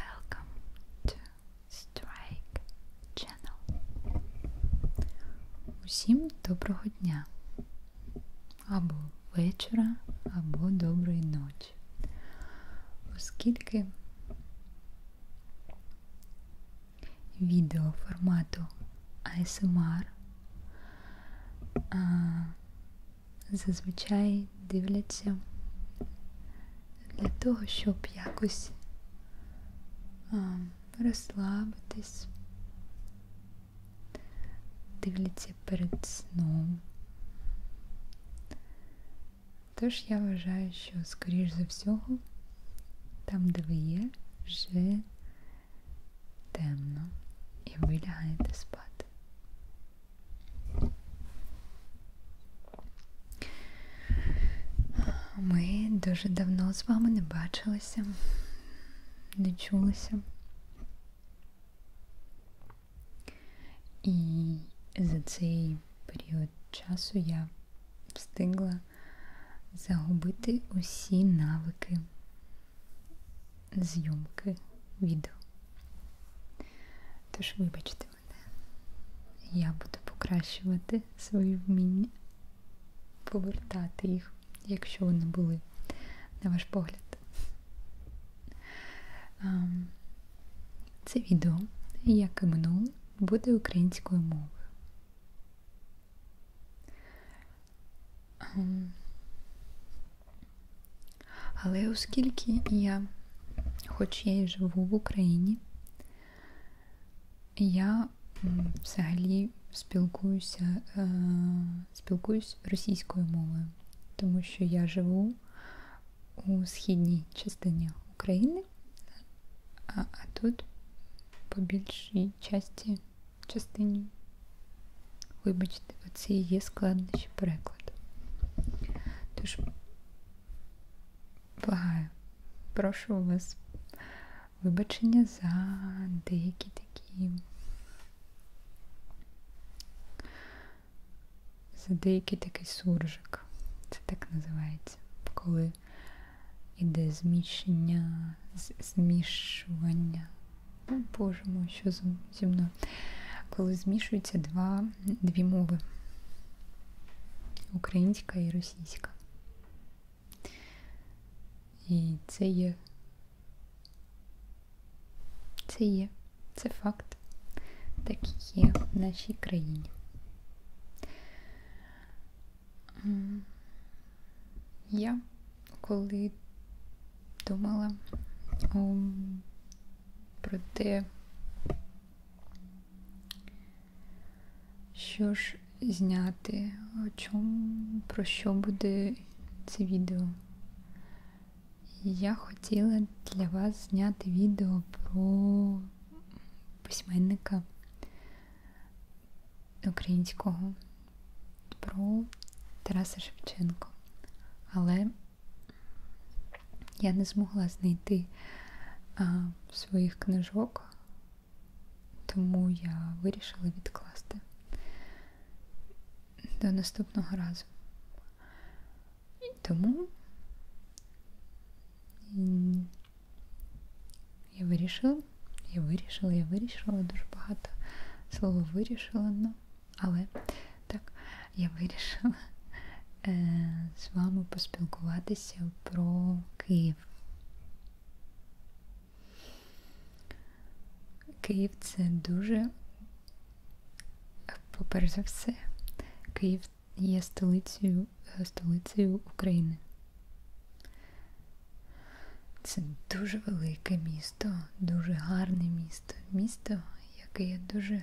Welcome to Strike Channel. Усім доброго дня, або вечора, або доброї ночі. Оскільки відео формату ASMR а, зазвичай дивляться для того, щоб якось а, розслабитись, дивляться перед сном. Тож я вважаю, що, скоріш за всього, там, де ви є, вже темно і ви лягаєте спати. Ми дуже давно з вами не бачилися, не чулися. І за цей період часу я встигла загубити усі навики, зйомки відео. Тож, вибачте мене, я буду покращувати свої вміння, повертати їх, якщо вони були, на ваш погляд. Ем, це відео, як і минуле, буде українською мовою. Ем, але оскільки я, хоч я і живу в Україні, я взагалі спілкуюся, е, спілкуюсь російською мовою, тому що я живу у східній частині України, а, а тут по більшій часті частині Вибачте, оце і є складнощі перекладу. Тож, благаю, прошу у вас вибачення за деякі такі. За деякий такий суржик. Це так називається, коли іде зміщення, змішування о, Боже мой, що зі мною? Коли змішуються два, дві мови українська і російська. І це є. Це є, це факт, так є в нашій країні. Я коли думала о, ем, про те, що ж зняти, о чому, про що буде це відео. Я хотіла для вас зняти відео про письменника українського про Тараса Шевченко. Але я не змогла знайти а, своїх книжок, тому я вирішила відкласти до наступного разу. І тому я вирішила, я вирішила, я вирішила дуже багато. Слово вирішила, але ну, але так, я вирішила е, з вами поспілкуватися про Київ. Київ це дуже, поперед за все, Київ є столицею, столицею України. Це дуже велике місто місто, дуже гарне місто. Місто, яке я дуже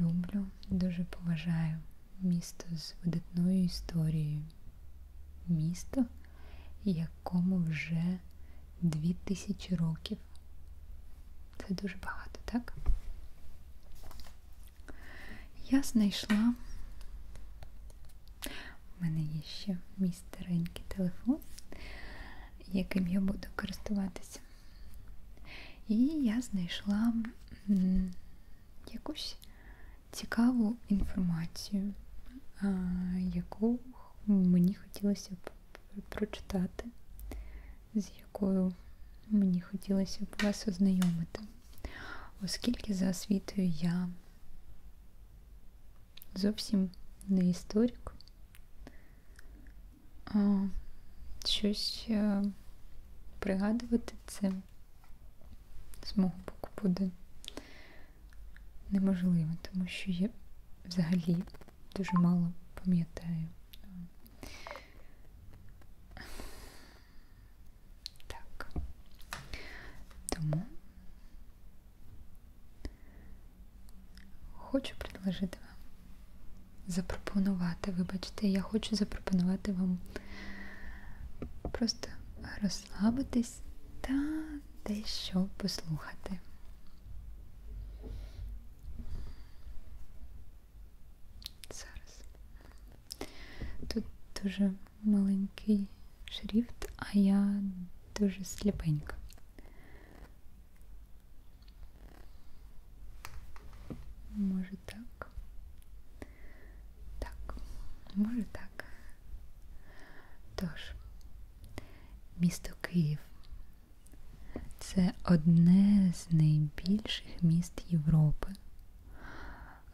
люблю, дуже поважаю. Місто з видатною історією. Місто, якому вже дві тисячі років. Це дуже багато, так? Я знайшла. У мене є ще мій старенький телефон яким я буду користуватися. І я знайшла якусь цікаву інформацію, яку мені хотілося б прочитати, з якою мені хотілося б вас ознайомити, оскільки за освітою я зовсім не історик, а, щось а, е, пригадувати це з мого боку буде неможливо, тому що я взагалі дуже мало пам'ятаю. Так. Тому Хочу предложити вам запропонувати, вибачте, я хочу запропонувати вам просто розслабитись та дещо послухати. Зараз. Тут дуже маленький шрифт, а я дуже сліпенька. Може так. Так, може так. Тож, місто Київ це одне з найбільших міст Європи.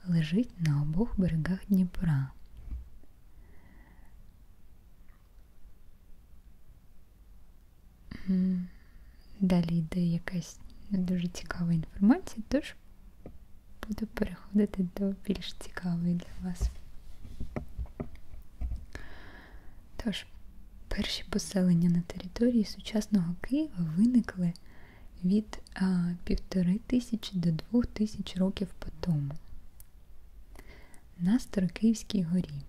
Лежить на обох берегах Дніпра. Далі йде якась не дуже цікава інформація, тож буду переходити до більш цікавої для вас. Тож, перші поселення на території сучасного Києва виникли від півтори тисячі до двох тисяч років по тому на Старокиївській горі.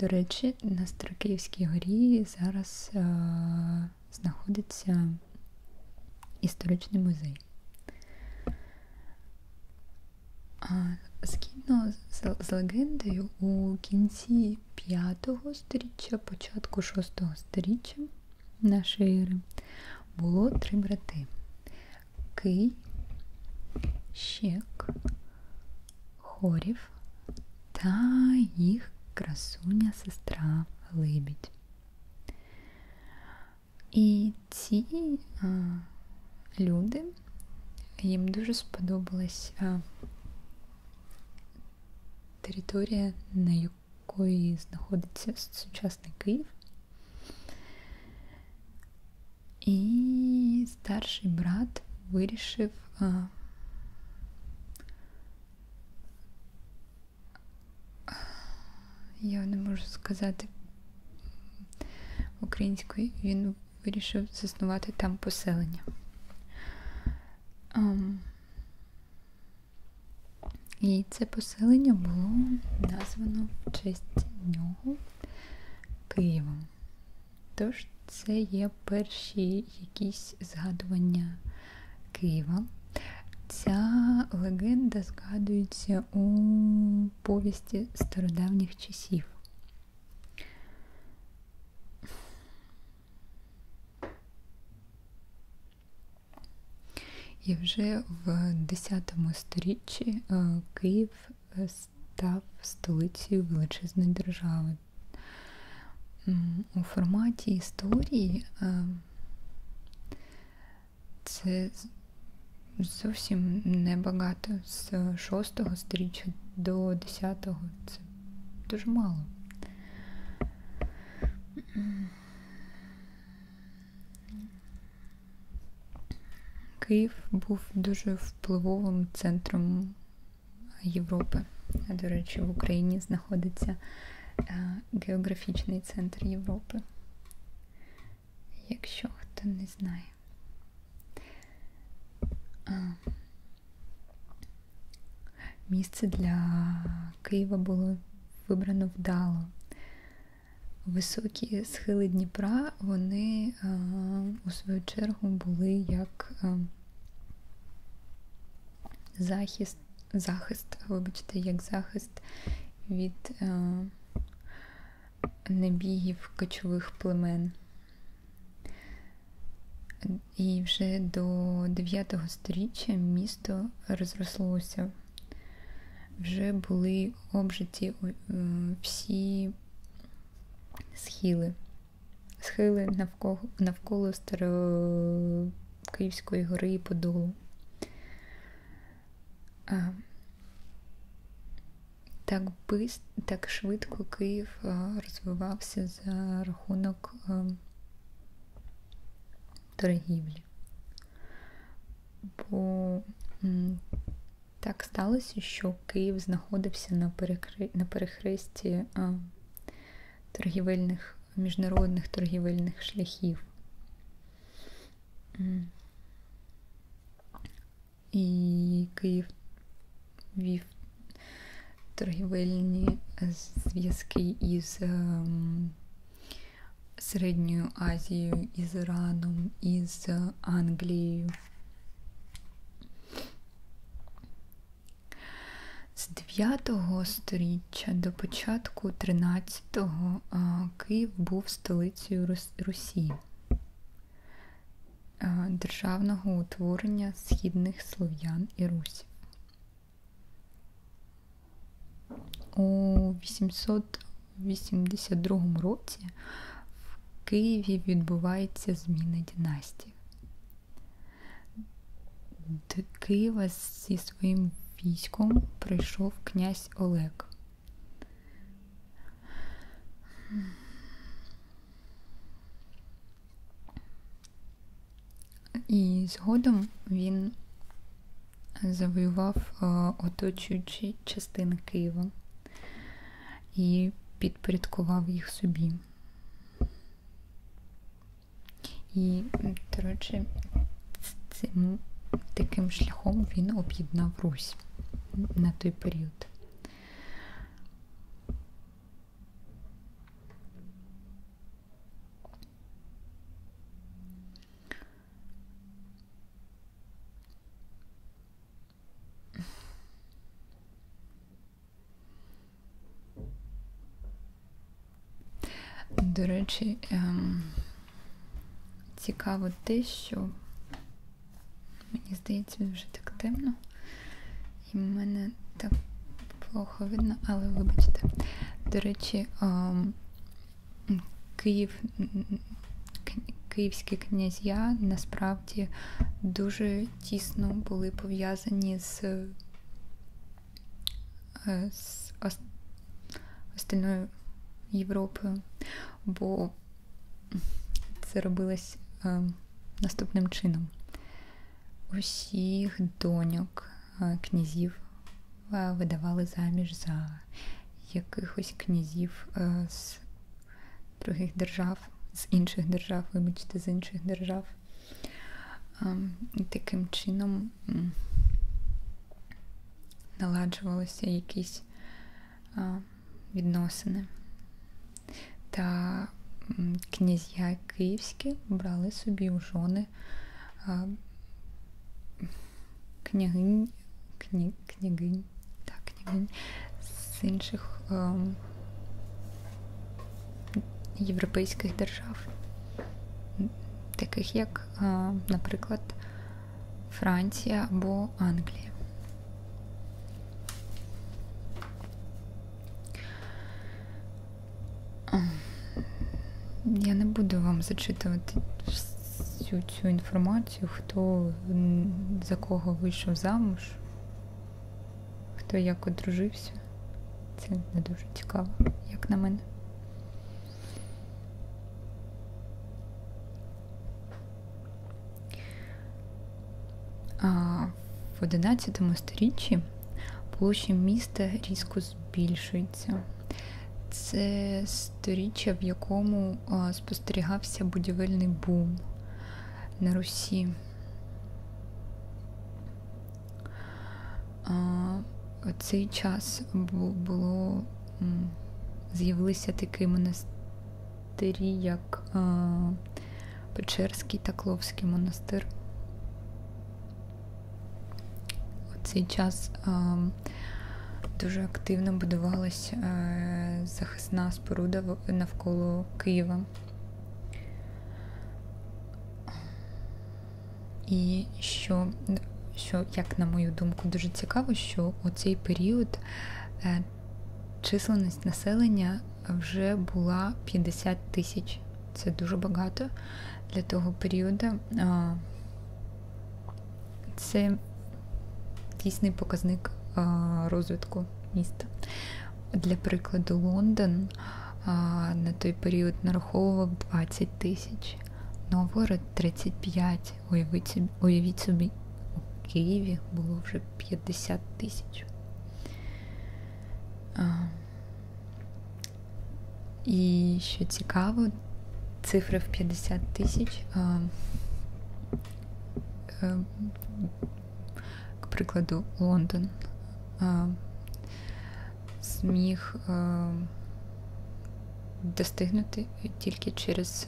До речі, на Старокиївській горі зараз е- знаходиться історичний музей. А Згідно з, з легендою, у кінці 5-го сторіччя, початку 6-го сторіччя нашої ери було три брати: Кий, Щек, Хорів та їх красуня сестра Либідь. І ці а, люди їм дуже сподобалась а, територія, на якої знаходиться сучасний Київ. І старший брат вирішив а, я не можу сказати українською, він вирішив заснувати там поселення. Um, і це поселення було названо в честь нього Києвом. Тож це є перші якісь згадування Києва. Ця легенда згадується у повісті стародавніх часів. І вже в 10 сторіччі е, Київ е, став столицею величезної держави. У форматі історії е, це зовсім небагато з 6 сторіччя до 10-го це дуже мало. Київ був дуже впливовим центром Європи. До речі, в Україні знаходиться е, географічний центр Європи. Якщо хто не знає. Місце для Києва було вибрано вдало. Високі схили Дніпра, вони а, е, у свою чергу були як а, е, захист, захист, вибачте, як захист від а, е, небігів кочових племен. І вже до 9 століття місто розрослося вже були обжиті е, всі схили, схили навколо навколо Старокиївської гори і Подолу. А, так бист, так швидко Київ розвивався за рахунок ем, торгівлі. Бо так сталося, що Київ знаходився на перекри... на перехресті а, торгівельних, міжнародних торгівельних шляхів. І Київ вів торгівельні зв'язки із ем, Середньою Азією із Іраном, із Англією. З 9 століття до початку 13-го е, Київ був столицею Русі, е, державного утворення східних слов'ян і русів. У 882 році в Києві відбувається зміна династії. До Києва зі своїм військом прийшов князь Олег. І згодом він завоював е, оточуючі частини Києва і підпорядкував їх собі. І, до речі, цим таким шляхом він об'єднав Русь на той період. До речі, ем, цікаво те, що мені здається, вже так темно. І в мене так плохо видно, але вибачте. До речі, ем, Київ, Київські князя насправді дуже тісно були пов'язані з, е, з остальною Європою, бо це робилось ем, наступним чином. Усіх доньок Е, князів е, видавали заміж за якихось князів е, з других держав, з інших держав, вибачте, з інших держав. Ем, і таким чином наладжувалися якісь відносини. Та князя київські брали собі у жони князівни, княгинь, кні, княгинь, так, княгинь з інших європейських держав, таких як, наприклад, Франція або Англія. Я не буду вам зачитувати всю цю інформацію, хто за кого вийшов замуж, хто як одружився. Це не дуже цікаво, як на мене. А в 11 сторіччі площі міста різко збільшилися збільшується. Це сторіччя, в якому спостерігався будівельний бум на Русі. Цей час було з'явилися такі монастирі, як Печерський та Кловський монастир. У цей час ем, дуже активно будувалася е, захисна споруда навколо Києва. І що, що, як на мою думку, дуже цікаво, що у цей період е, численність населення вже була 50 тисяч це дуже багато для того періоду. Це дійсний показник розвитку міста. Для прикладу, Лондон на той період нараховував 20 тисяч, Новгород 35. Уявіть собі, уявіть собі, у Києві було вже 50 тисяч. І що цікаво, цифри в 50 тисяч, е, к прикладу, Лондон а, зміг а, е, достигнути тільки через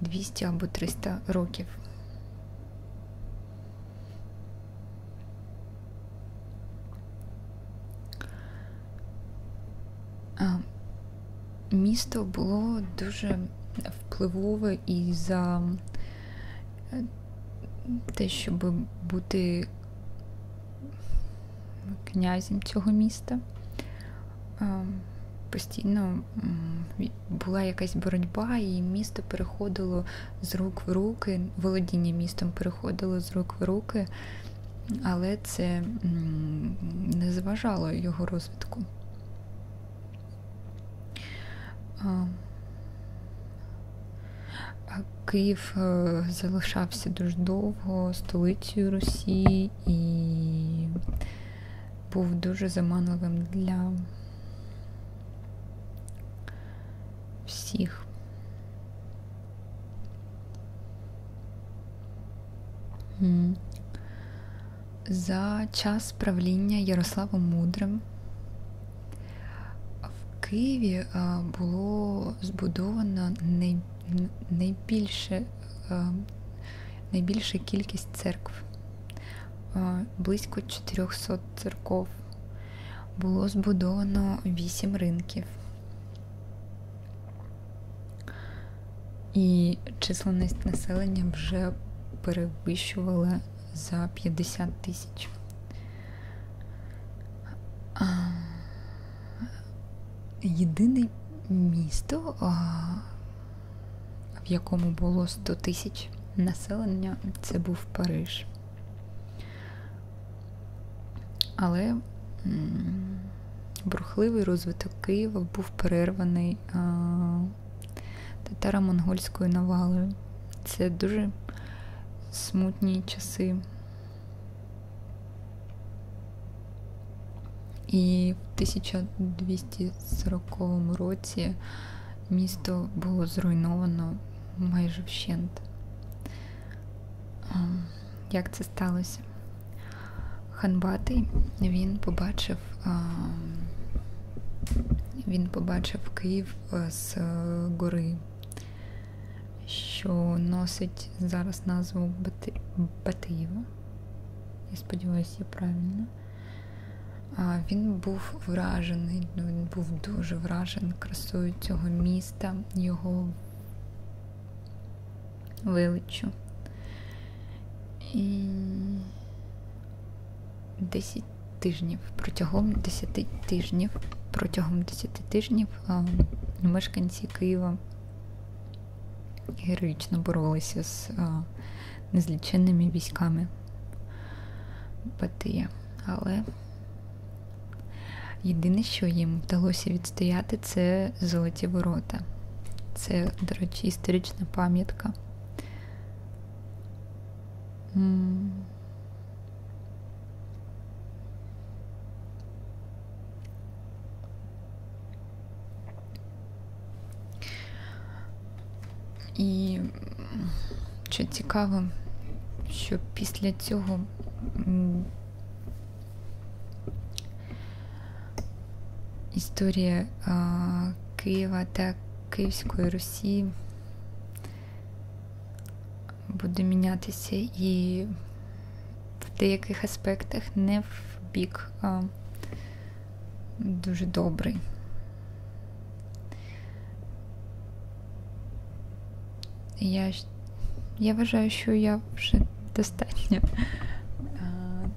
200 е, або 300 років. Місто було дуже впливове і за е, те, щоб бути князем цього міста. Постійно була якась боротьба, і місто переходило з рук в руки, володіння містом переходило з рук в руки, але це не зважало його розвитку. Київ е, залишався дуже довго столицею Росії і був дуже заманливим для всіх. За час правління Ярославом Мудрим в Києві було збудовано найбільше, найбільша кількість церкв, близько 400 церков було збудовано 8 ринків. І численність населення вже перевищувала за 50 тисяч. Єдине місто, в якому було 100 тисяч населення це був Париж. Але брухливий розвиток Києва був перерваний татаро-монгольською навалою. Це дуже смутні часи. І в 1240 році місто було зруйновано майже вщент. Ем, як це сталося? Ханбатий він побачив ем, він побачив Київ е, з гори, що носить зараз назву Батиєва. Я сподіваюся, я правильно. Він був вражений, ну, він був дуже вражений красою цього міста, його величчю. І 10 тижнів протягом 10 тижнів, протягом 10 тижнів мешканці Києва героїчно боролися з незліченними військами батия. Але єдине, що їм вдалося відстояти, це золоті ворота. Це, до речі, історична пам'ятка. І що цікаво, що після цього історія а, Києва та Київської Русі буде мінятися і в деяких аспектах не в бік а, дуже добрий. Я я вважаю, що я вже достатньо а,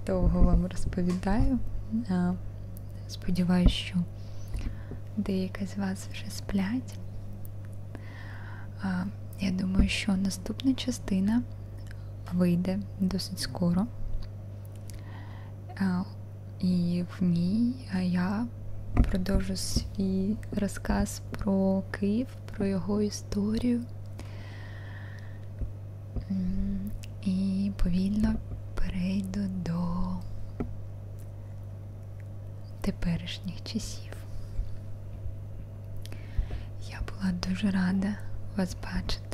довго вам розповідаю. А, сподіваюся, що деякі з вас вже сплять. А, я думаю, що наступна частина вийде досить скоро. А, і в ній я продовжу свій розказ про Київ, про його історію. І повільно перейду до теперішніх часів. Я була дуже рада вас бачити.